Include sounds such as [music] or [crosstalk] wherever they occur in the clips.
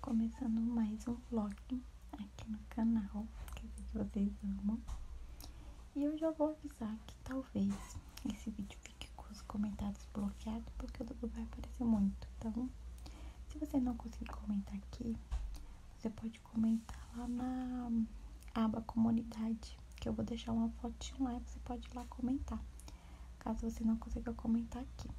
Começando mais um vlog aqui no canal, que é eu sei que vocês amam. E eu já vou avisar que talvez esse vídeo fique com os comentários bloqueados, porque o Dudu vai aparecer muito. Então, se você não conseguir comentar aqui, você pode comentar lá na aba comunidade, que eu vou deixar uma fotinha lá e você pode ir lá comentar caso você não consiga comentar aqui,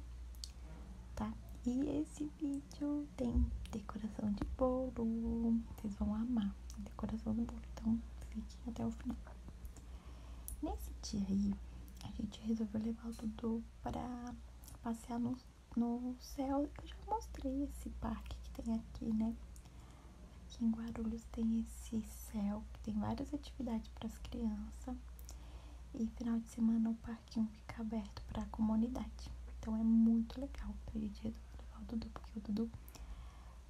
tá? E esse vídeo tem decoração de bolo, vocês vão amar a decoração de bolo, então fiquem até o final. Nesse dia aí, a gente resolveu levar o Dudu pra passear no, no que eu já mostrei esse parque que tem aqui, né? Aqui em Guarulhos tem esse céu, que tem várias atividades para as crianças. E final de semana o parque parquinho fica aberto para a comunidade. Então é muito legal pra gente levar Dudu, porque o Dudu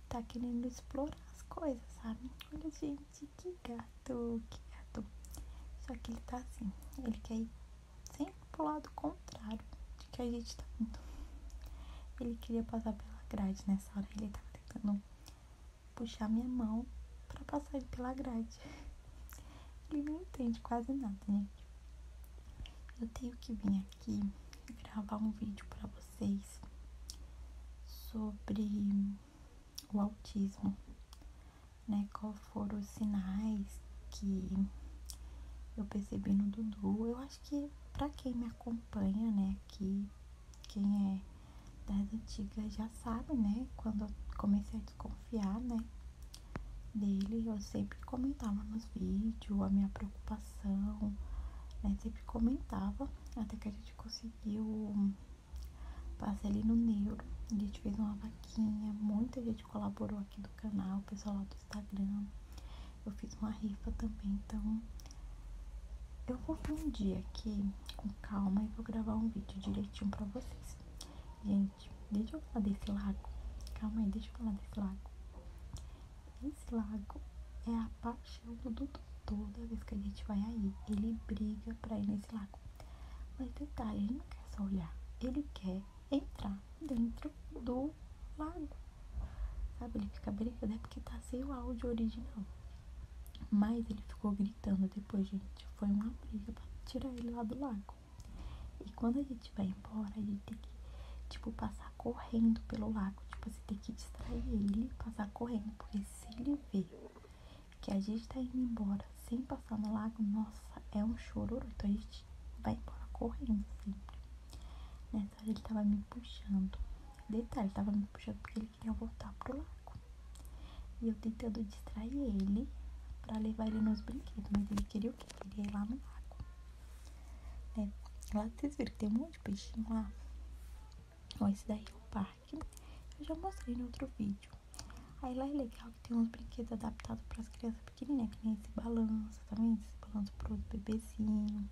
tá querendo explorar as coisas, sabe? Olha, gente, que gato, que gato. Só que ele tá assim, ele quer ir sempre pro lado contrário de que a gente tá indo. Então, ele queria passar pela grade nessa hora, ele estava tentando puxar minha mão para passar pela grade. [laughs] Ele não entende quase nada, gente. Eu tenho que vir aqui gravar um vídeo para vocês sobre o autismo, né? Qual foram os sinais que eu percebi no Dudu. Eu acho que para quem me acompanha, né, aqui, quem é das antigas já sabe, né? Quando eu comecei a desconfiar, né? Dele, eu sempre comentava nos vídeos a minha preocupação, né? Sempre comentava, até que a gente conseguiu passar ele no neuro. A gente fez uma vaquinha, muita gente colaborou aqui do canal, o pessoal lá do Instagram. Eu fiz uma rifa também, então eu vou vir um dia aqui com calma e vou gravar um vídeo direitinho pra vocês. Gente, deixa eu falar desse lago. Calma aí, deixa eu falar desse lago. Esse lago é a paixão do Dudu. Toda vez que a gente vai aí, ele briga pra ir nesse lago. Mas detalhe, ele não quer só olhar. Ele quer entrar dentro do lago. Sabe, ele fica brincando é porque tá sem o áudio original. Mas ele ficou gritando gritando depois, gente. Foi uma briga para tirar ele lá do lago. E quando a gente vai embora, a gente tem que, tipo, passar correndo pelo lago. Tipo, você assim, tem que distrair ele passar correndo. Porque se ele vê que a gente tá indo embora sem passar no lago, nossa, é um chororô. Então a gente vai embora correndo sempre. Nessa hora ele tava me puxando. Detalhe, tava me puxando porque ele queria voltar pro lago. E eu tentando distrair ele pra levar ele nos brinquedos. Mas ele queria o que queria ir lá no lago. Né? Lá vocês viram que tem um monte de peixinho lá. Ó, esse daí é o parque. Né? Eu já mostrei no outro vídeo. Aí lá é legal que tem uns brinquedos adaptados para as crianças pequenininhas, que nem esse balanço, tá Esse balanço para os bebezinhos.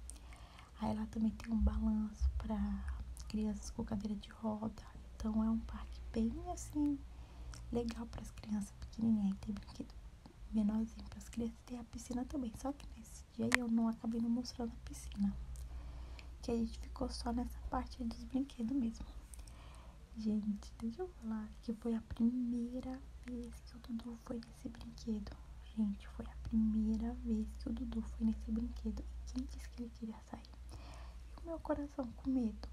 Aí lá também tem um balanço para crianças com cadeira de roda. Então é um parque bem assim legal para as crianças pequenininhas. Aí tem brinquedo menorzinho para as crianças. Tem a piscina também. Só que nesse dia eu não acabei não mostrando a piscina. Que a gente ficou só nessa parte dos brinquedos mesmo. Gente, deixa eu falar que foi a primeira vez que o Dudu foi nesse brinquedo. Gente, foi a primeira vez que o Dudu foi nesse brinquedo. E quem disse que ele queria sair. E o meu coração com medo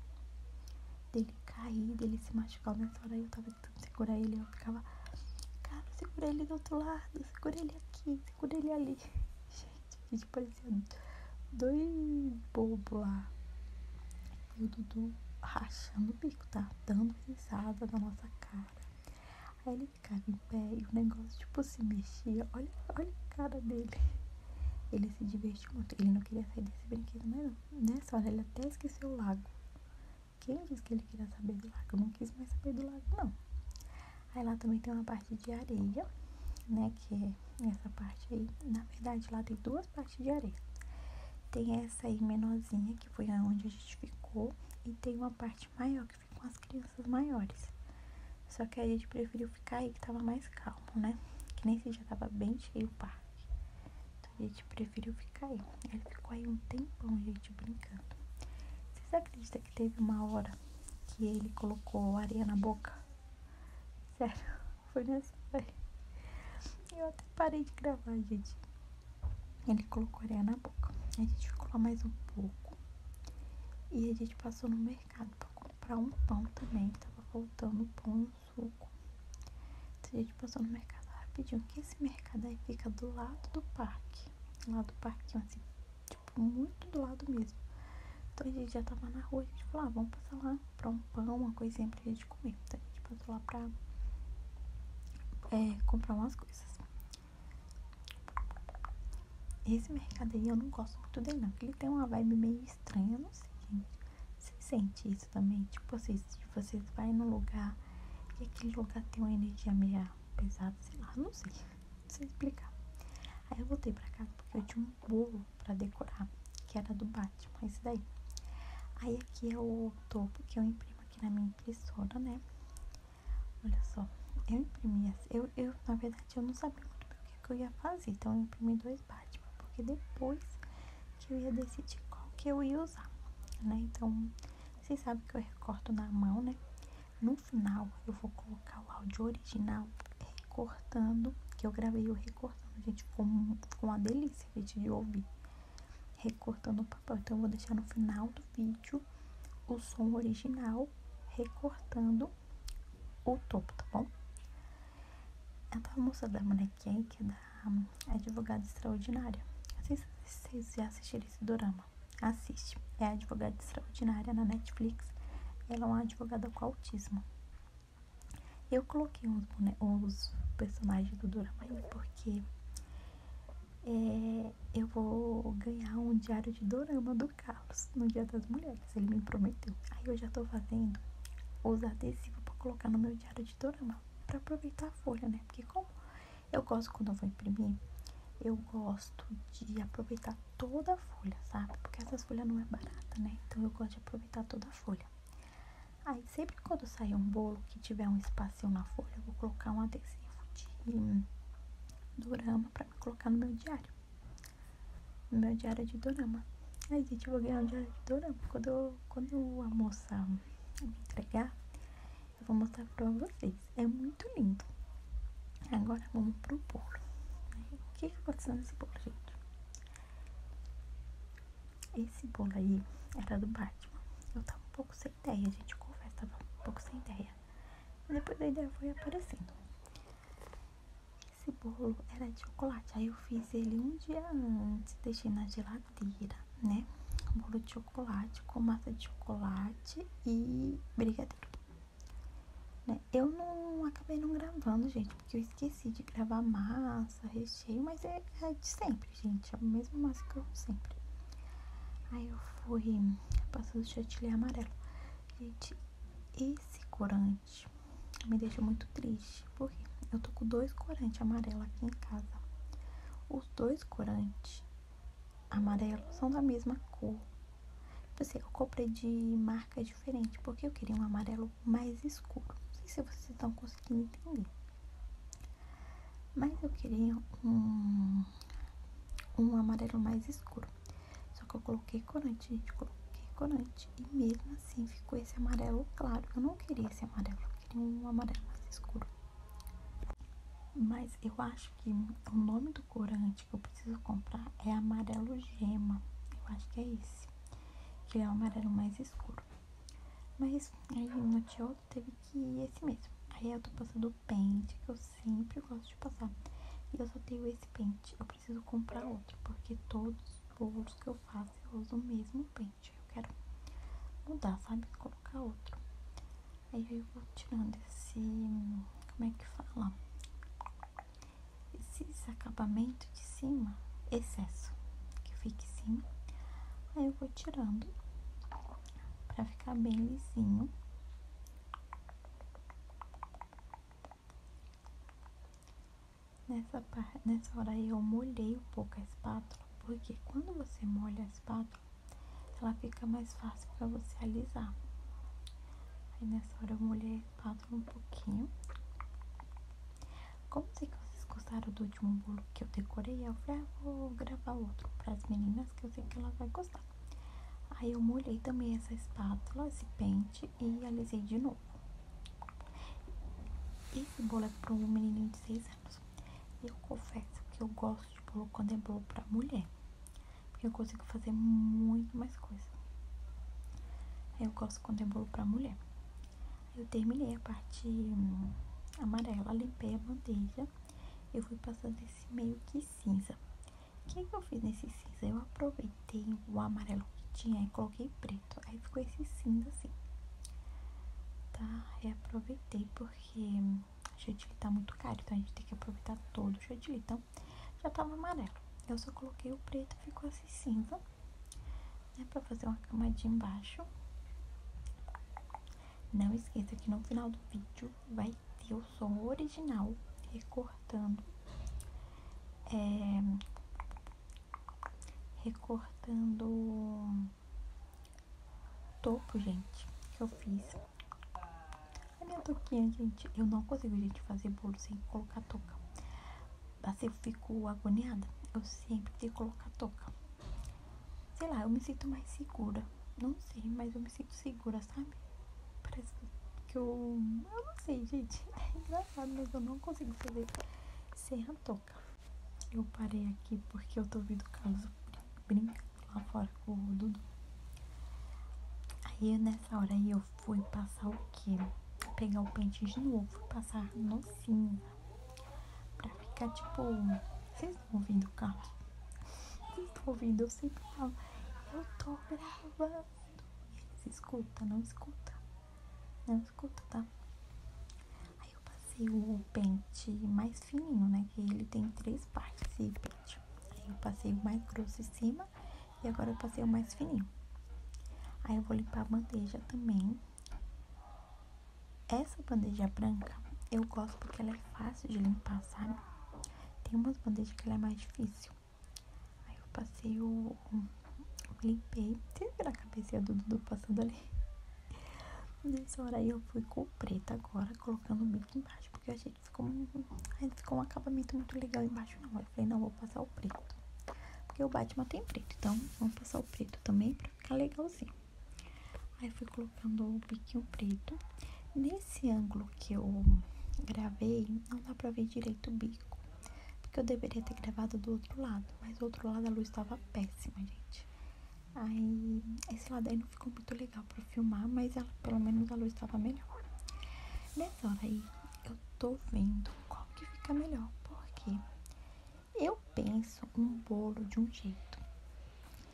dele cair, dele se machucar. Nessa hora eu tava tentando segurar ele, eu ficava, cara, segura ele do outro lado, segura ele aqui, segura ele ali. [laughs] Gente, a gente dois bobos lá. E o Dudu rachando o bico, tá? Dando risada na nossa cara. Aí ele ficava em pé e o negócio, tipo, se mexia. Olha, olha a cara dele. Ele se divertia. Ele não queria sair desse brinquedo mais não. Nessa hora ele até esqueceu o lago. Quem disse que ele queria saber do lago? Eu não quis mais saber do lago, não. Aí lá também tem uma parte de areia, né? Que é essa parte aí. Na verdade, lá tem duas partes de areia. Tem essa aí menorzinha, que foi aonde a gente ficou. E tem uma parte maior, que ficam as crianças maiores. Só que a gente preferiu ficar aí, que tava mais calmo, né? Que nem se já tava bem cheio o parque. Então a gente preferiu ficar aí. Ele ficou aí um tempão, gente, brincando. Vocês acreditam que teve uma hora que ele colocou areia na boca? Sério, [laughs] foi nessa hora. Eu até parei de gravar, gente. Ele colocou areia na boca. A gente ficou lá mais um pouco. E a gente passou no mercado para comprar um pão também. Tava faltando pão e suco. Então a gente passou no mercado rapidinho. Que esse mercado aí fica do lado do parque. Lá do parquinho assim, tipo, muito do lado mesmo. Então a gente já tava na rua, a gente falou, ah, vamos passar lá para um pão, uma coisinha a gente comer. Então a gente passou lá para é, comprar umas coisas. Esse mercado aí eu não gosto muito dele, não. ele tem uma vibe meio estranho, eu não sei, gente. Você sente isso também? Tipo, assim, se você vai num lugar e aquele lugar tem uma energia meio pesada, sei lá, não sei, não sei explicar. Aí eu voltei pra casa porque eu tinha um bolo pra decorar, que era do Batman, esse daí. Aí aqui é o topo que eu imprimo aqui na minha impressora, né? Olha só, eu imprimi, assim, eu, eu na verdade eu não sabia muito bem o que, eu ia fazer, então eu imprimi dois Batman, porque depois que eu ia decidir qual que eu ia usar, né? Então, vocês sabem que eu recorto na mão, né? No final, eu vou colocar o áudio original recortando, que eu gravei o recortando, gente, ficou, ficou uma delícia, a gente, de ouvir. Recortando o papel, então eu vou deixar no final do vídeo o som original recortando o topo, tá bom? a famosa da a bonequinha que é da Advogada Extraordinária. Não sei se vocês já assistiram esse drama Assiste. É a Advogada Extraordinária na Netflix. Ela é uma advogada com autismo. Eu coloquei os, personagens do drama aí porque é, eu vou ganhar um diário de dorama Carlos no Dia das Mulheres. Ele me prometeu. Aí eu já tô fazendo os adesivos pra colocar no meu diário de dorama. Pra aproveitar a folha, né? Porque como eu gosto quando eu vou imprimir, eu gosto de aproveitar toda a folha, sabe? Porque essas folhas não é barata, né? Então eu gosto de aproveitar toda a folha. Aí sempre quando sair um bolo que tiver um espacinho na folha, eu vou colocar um adesivo de dorama pra colocar no meu diário. No meu diário de dorama. Aí, gente, eu vou ganhar o diário de dorama. Quando, quando a moça me entregar, eu vou mostrar pra vocês. É muito lindo. Agora vamos pro bolo. O que, que aconteceu nesse bolo, gente? Esse bolo aí era do Batman. Eu tava um pouco sem ideia, a gente. Confesso, tava um pouco sem ideia. depois a ideia foi aparecendo. Esse bolo era de chocolate, aí eu fiz ele um dia antes, deixei na geladeira, né? bolo de chocolate com massa de chocolate e brigadeiro. Né? Eu não acabei não gravando, gente, porque eu esqueci de gravar massa, recheio, mas é, é de sempre, gente. É a mesma massa que eu sempre. Aí eu fui passando chantilly amarelo. Gente, esse corante me deixa muito triste, porque eu tô com dois corantes amarelos aqui em casa. Os dois corantes amarelos são da mesma cor. Assim, eu comprei de marca diferente, porque eu queria um amarelo mais escuro. Não sei se vocês estão conseguindo entender. Mas eu queria um, um amarelo mais escuro. Só que eu coloquei corante, gente, coloquei corante. E mesmo assim ficou esse amarelo claro. Eu não queria esse amarelo, eu queria um amarelo mais escuro. Mas eu acho que o nome do corante que eu preciso comprar é amarelo gema. Eu acho que é esse. Que é o amarelo mais escuro. Mas aí no tio teve que ir esse mesmo. Aí eu tô passando o pente que eu sempre gosto de passar. E eu só tenho esse pente. Eu preciso comprar outro, porque todos os bolos que eu faço eu uso o mesmo pente. Eu quero mudar, sabe? Colocar outro. Aí eu vou tirando esse. Como é que fala? Esse acabamento de cima, excesso que fica em Aí eu vou tirando pra ficar bem lisinho. Nessa, hora eu molhei um pouco a espátula, porque quando você molha a espátula, ela fica mais fácil para você alisar. Aí nessa hora eu molhei a espátula um pouquinho. Como sei que vocês gostaram do último bolo que eu decorei, eu falei, ah, vou gravar outro para as meninas que eu sei que elas vão gostar. Aí eu molhei também essa espátula, esse pente, e alisei de novo. Esse bolo é para um menininho de 6 anos. Eu confesso que eu gosto de bolo quando é para mulher, porque eu consigo fazer muito mais coisa. Eu gosto de é bolo para mulher. Eu terminei a parte hum, amarela, limpei a bandeja. Eu fui passando esse meio que cinza. O é que, eu fiz nesse cinza? Eu aproveitei o amarelo que tinha e coloquei preto. Aí ficou esse cinza assim. Tá? Reaproveitei porque o chantilly tá muito caro, então a gente tem que aproveitar todo o chantilly. Então, já tava tá amarelo. Eu só coloquei o preto, ficou assim cinza, né? Pra fazer uma camadinha embaixo. Não esqueça que no final do vídeo vai ter o som original recortando, é, recortando topo, gente, que eu fiz. A minha touquinha, gente, eu não consigo, gente, fazer bolo sem colocar touca. Assim, eu fico agoniada, eu sempre tenho que colocar touca. Sei lá, eu me sinto mais segura. Não sei, mas eu me sinto segura, sabe? Parece que eu. Eu não sei, gente. [laughs] É engraçado, mas eu não consigo fazer sem a toca. Eu parei aqui porque eu tô ouvindo o Carlos brincar lá fora com o Dudu. Aí nessa hora aí eu fui passar o quê? Pegar o pente de novo, fui passar no cinza. Pra ficar tipo. Vocês estão ouvindo o Carlos? Vocês estão ouvindo? Eu sempre falo. Eu tô gravando. Se escuta, não escuta. Não escuta, tá? Aí eu passei o pente mais fininho, né? Que ele tem três partes esse pente. Aí eu passei o mais grosso em cima e agora eu passei o mais fininho. Aí eu vou limpar a bandeja também. Essa bandeja branca eu gosto porque ela é fácil de limpar, sabe? Tem umas bandejas que ela é mais difícil. Aí eu passei o. Eu limpei. Vocês viram a cabecinha do Dudu passando ali? Nessa hora aí eu fui com o preto agora, colocando o bico embaixo, porque a gente que ficou, aí ficou um acabamento muito legal embaixo não. Eu falei, não, vou passar o preto. Porque o Batman tem preto, então vamos passar o preto também pra ficar legalzinho. Aí fui colocando o biquinho preto. Nesse ângulo que eu gravei, não dá pra ver direito o bico. Porque eu deveria ter gravado do outro lado. Mas do outro lado a luz estava péssima, gente. Aí, esse lado aí não ficou muito legal pra filmar, mas pelo menos a luz estava melhor. Nessa hora aí, eu tô vendo qual que fica melhor. Porque eu penso um bolo de um jeito.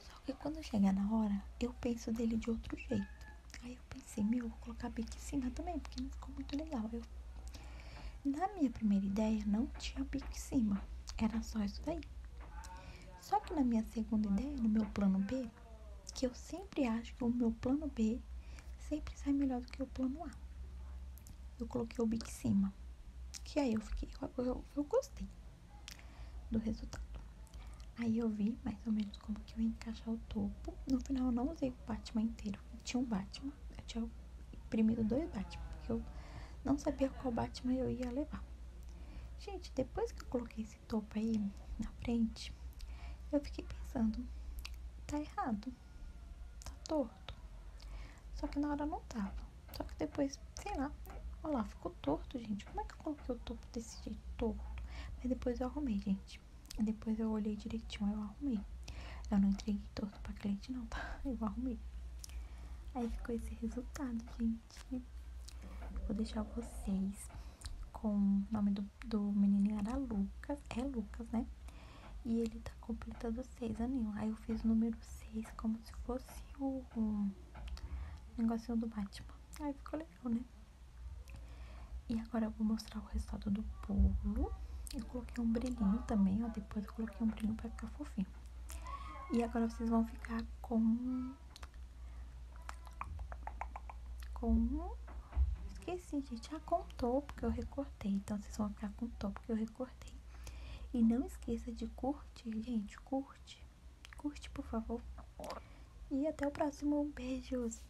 Só que quando chegar na hora, eu penso dele de outro jeito. Aí eu pensei, meu, vou colocar em cima também, porque não ficou muito legal. Eu, na minha primeira ideia, não tinha bico em cima, era só isso daí. Só que na minha segunda ideia, no meu plano B, que eu sempre acho que o meu plano B sempre sai melhor do que o plano A. Eu coloquei o bico em cima, que aí eu fiquei, eu gostei do resultado. Aí eu vi mais ou menos como que eu ia encaixar o topo. No final eu não usei o Batman inteiro. tinha um Batman. Eu tinha imprimido dois Batman. Porque eu não sabia qual Batman eu ia levar. Gente, depois que eu coloquei esse topo aí na frente, eu fiquei pensando, tá errado. Tá torto. Só que na hora não tava. Só que depois, sei lá, olha lá, ficou torto, gente. Como é que eu coloquei o topo desse jeito torto? Mas depois eu arrumei, gente. Depois eu olhei direitinho, eu arrumei. Eu não entreguei todo pra cliente, não, tá? [laughs] Eu arrumei. Aí ficou esse resultado, gente. Vou deixar vocês com o nome do, do menininho era Lucas. É Lucas, né? E ele tá completando seis aninhos. Aí eu fiz o número seis como se fosse o, o negocinho do Batman. Aí ficou legal, né? E agora eu vou mostrar o resultado do pulo. Eu coloquei um brilhinho também, ó. Depois eu coloquei um brilhinho pra ficar fofinho. E agora vocês vão ficar com... Com... Esqueci, gente. Ah, com topo que eu recortei. Então, vocês vão ficar com top, porque eu recortei. E não esqueça de curtir, gente. Curte. Curte, por favor. E até o próximo. Beijos.